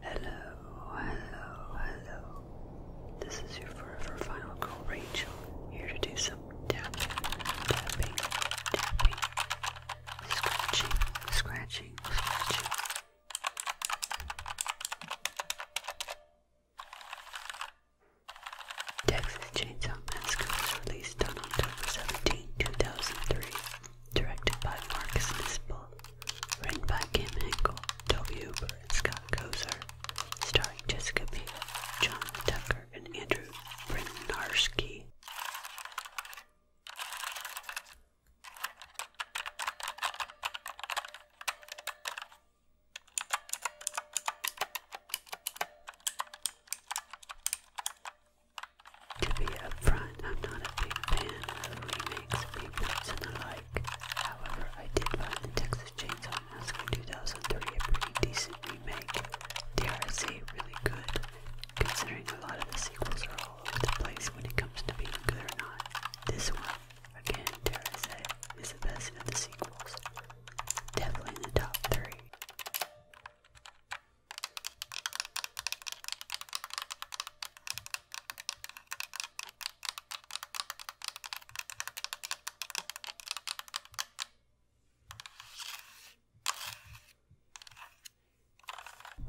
Hello, hello, hello. This is your forever final call, Rachel, here to do some tapping, tapping, tapping, scratching, scratching, scratching. Texas Chainsaw Massacre was released on October 17, 2003 directed by Markus Nispel, written by Kim Hinkle, W. Hooper, and Scott Kozer, starring Jessica Biel, John Tucker, and Andrew Brinarski. To be upfront, I'm not a big fan of remakes, reboots, and the like. However, I did find the Texas Chainsaw Massacre 2003 a pretty decent remake. Dare I say, really good, considering a lot of the sequels are all over the place when it comes to being good or not. This one, again, dare I say, is the best of the sequels. Definitely in the top three.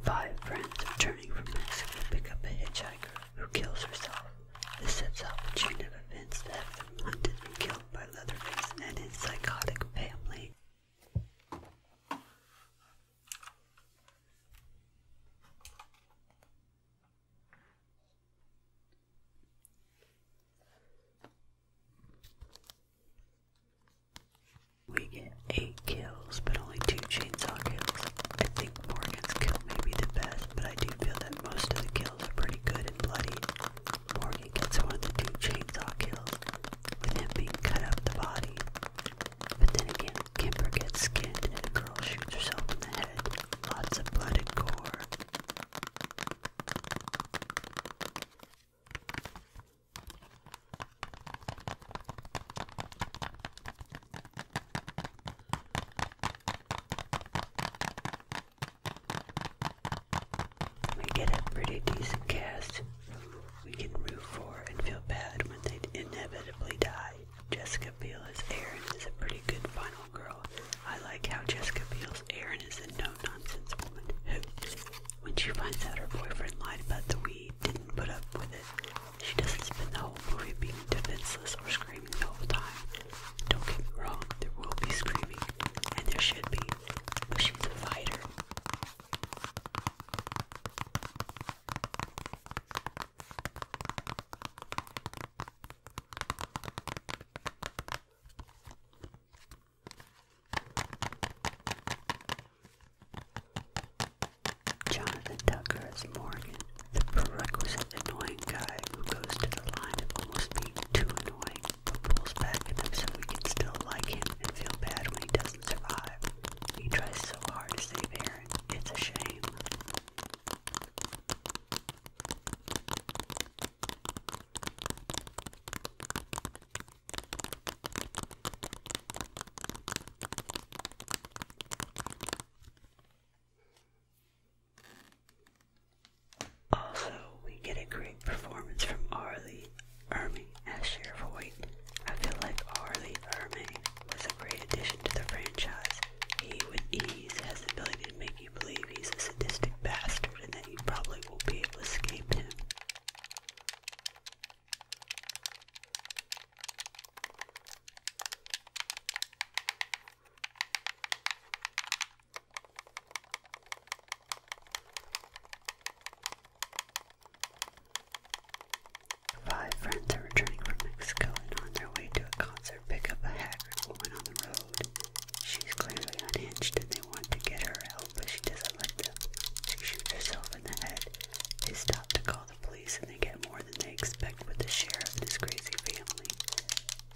Five friends returning from Mexico pick up a hitchhiker who kills herself. This sets off a chain of events that have them hunted and killed by Leatherface and his psychotic family. We get eight kills, but only two chainsaw kills. I think Morgan's kill may the best, but I do feel that most of the kills are pretty good and bloody. Morgan gets one of the two chainsaw kills with him being cut up the body. But then again, Kimber gets skinned and a girl shoots herself in the head. Lots of blood and gore. We get a pretty decent cast we can root for and feel bad when they inevitably die. Jessica Biel as Erin is a pretty good final girl. I like how Jessica Biel's Erin is a no-nonsense woman when she finds out her boyfriend lied about the weed, didn't put up with it. She doesn't spend the whole movie being defenseless or screaming the whole time. Don't get me wrong, there will be screaming, and there should be, but she's a fighter. Jonathan Tucker is Morgan, the prerequisite annoying guy who goes to the line of almost being too annoying pulls back so we can still like him and feel bad when he doesn't survive. He tries so hard to save Aaron. It's a shame. Also, we get a great performance from Arlie. Ermey as Sheriff I feel like Harley Ermey was a great addition to the franchise. He, with ease, has the ability to make you believe he's a sadistic bastard and that you probably won't be able to escape him. Five friends are returning from Mexico and on their way to a concert pick up a haggard woman on the road. She's clearly unhinged and they want to get her help, but she doesn't like them. She shoots herself in the head. They stop to call the police and they get more than they expect with the sheriff and his crazy family.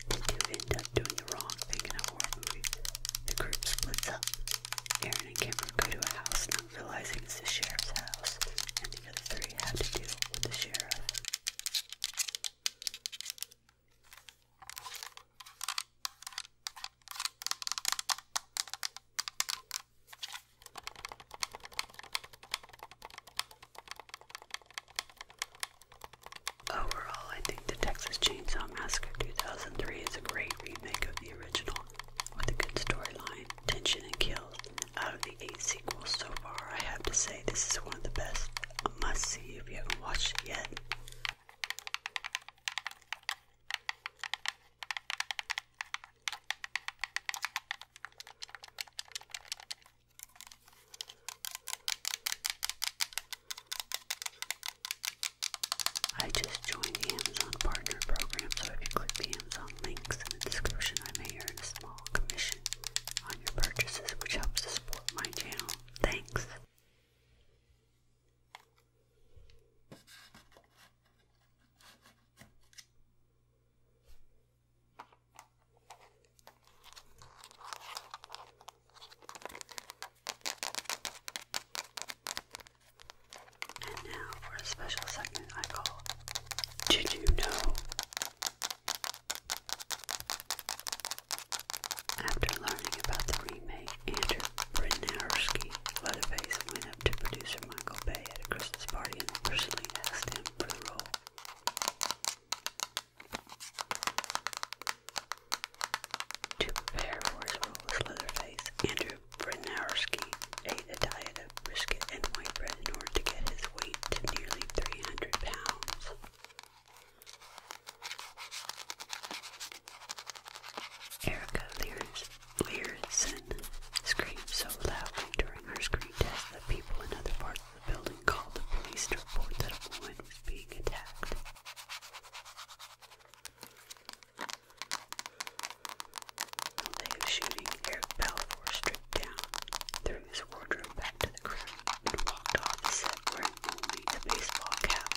They end up doing the wrong thing in a horror movie. The group splits up. Aaron and Cameron go to a house, not realizing it's the sheriff's house, and the other three have to deal with the sheriff. Overall, I think the Texas Chainsaw Massacre 2003 is a great remake of the original, with a good storyline, tension, and kills. Out of the eight sequels so far, I have to say this is one of the best. A must see if you haven't watched it yet. I just joined the Amazon Partner Program, so if you click the Amazon links in the description, I may earn a small commission on your purchases, which helps to support my channel. Thanks. And now for a special segment I call Did You Know? After learning about the remake, Andrew Brinarski Leatherface went up to producer Michael Bay at a Christmas party and personally asked him for the role. To prepare for his role as Leatherface, Andrew Bronowski ate a diet of brisket and white bread in order to get his weight to nearly 300 pounds. Erica Learson screamed so loudly during her screen test that people in other parts of the building called the police to report that a woman was being attacked. Day of shooting, Eric Balfour stripped down, threw his wardrobe back to the ground, and walked off the set wearing only a baseball cap.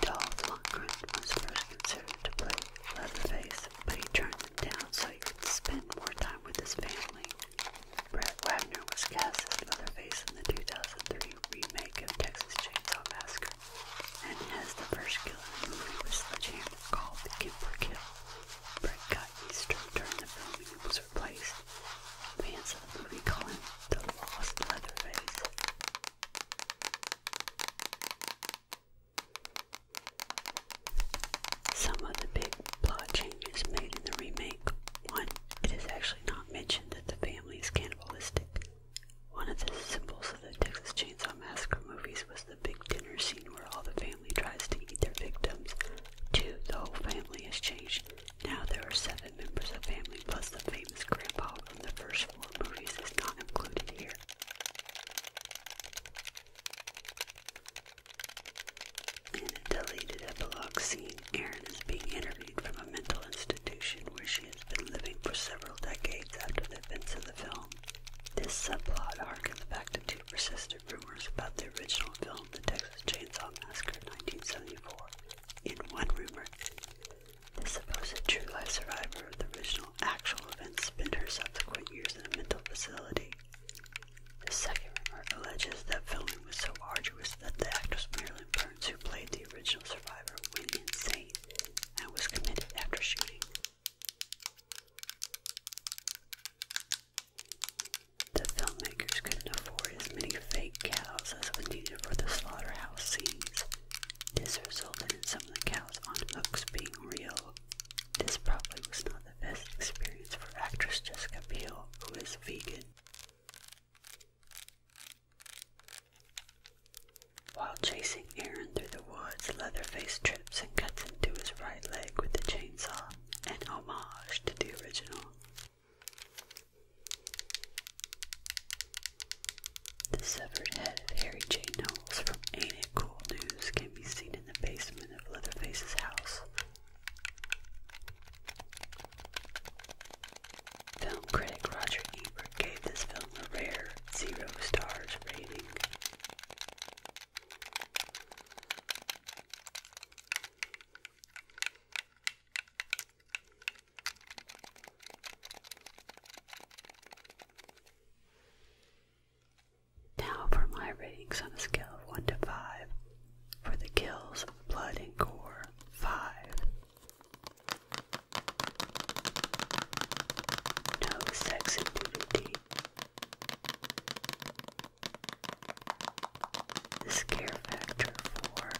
Dolph Lundgren was first considered to play Leatherface, but he turned them down so he could spend more time with his family. Brett Wagner was cast as Leatherface in the 2003 remake of Texas Chainsaw Massacre and as the first killer in the movie was sledgehammer called the Kipper Kill. Brett got Easter during the filming and was replaced. Fans of the movie call him the Lost Leatherface. Some of the big plot changes made in the remake. One, it is actually not mentioned that the family is cannibalistic. One of the symbols of the Texas Chainsaw Massacre movies was the big dinner scene where all the family tries to eat their victims. Two, the whole family has changed. Now there are seven members of the family, plus the famous grandpa from the first four movies is not included here. In a deleted epilogue scene, Erin is being interviewed from a mental institution where she has been living for several decades after the events of the film. This subplot harkens back to two persistent rumors about the original film, The Texas Chainsaw Massacre 1974. In one rumor, the supposed true life survivor of the original actual event spent her subsequent years in a mental facility. The second rumor alleges that filming was so arduous that the actress Marilyn Burns, who played the original survivor, went insane and was committed after shooting. The filmmakers couldn't afford as many fake cows as was needed for the slaughterhouse scenes. This resulted in some of the cows on hooks being real this probably was not the best experience for actress Jessica Biel, who is vegan. While chasing Aaron through the woods, Leatherface trips and cuts into his right leg with a chainsaw, an homage to the original. The severed head of Harry J from Ain't It Cool News can be seen in the basement of Leatherface's house. Film critic Roger Ebert gave this film a rare zero stars rating. Now for my ratings on a scale of 1 to 5 for the kills, blood, and gore 5. No sex The scare factor 4.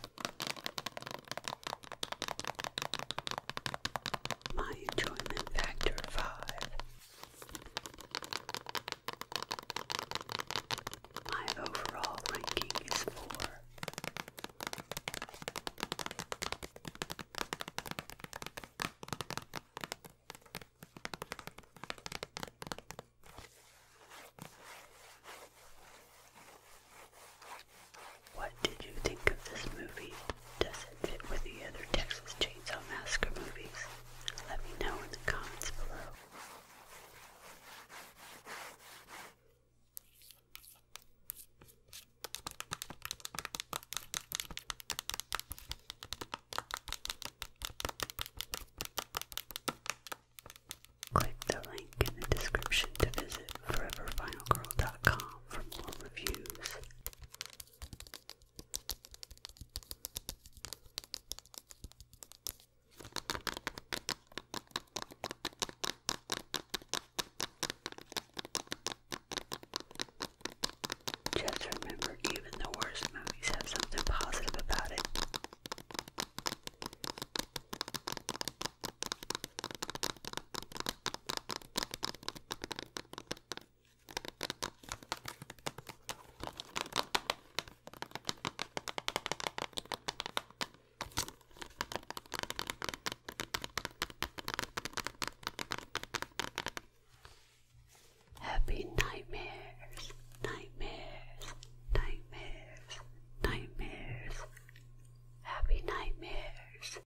My enjoyment factor 5. My overall ranking is four. What did you think of this movie? Does it fit with the other Texas Chainsaw Massacre movies? Let me know in the comments below. Click the link in the description to visit foreverfinalgirl.com for more reviews. Just remember, even the worst movies have something positive about it. Happy nightmares, nightmares, nightmares, nightmares, happy nightmares.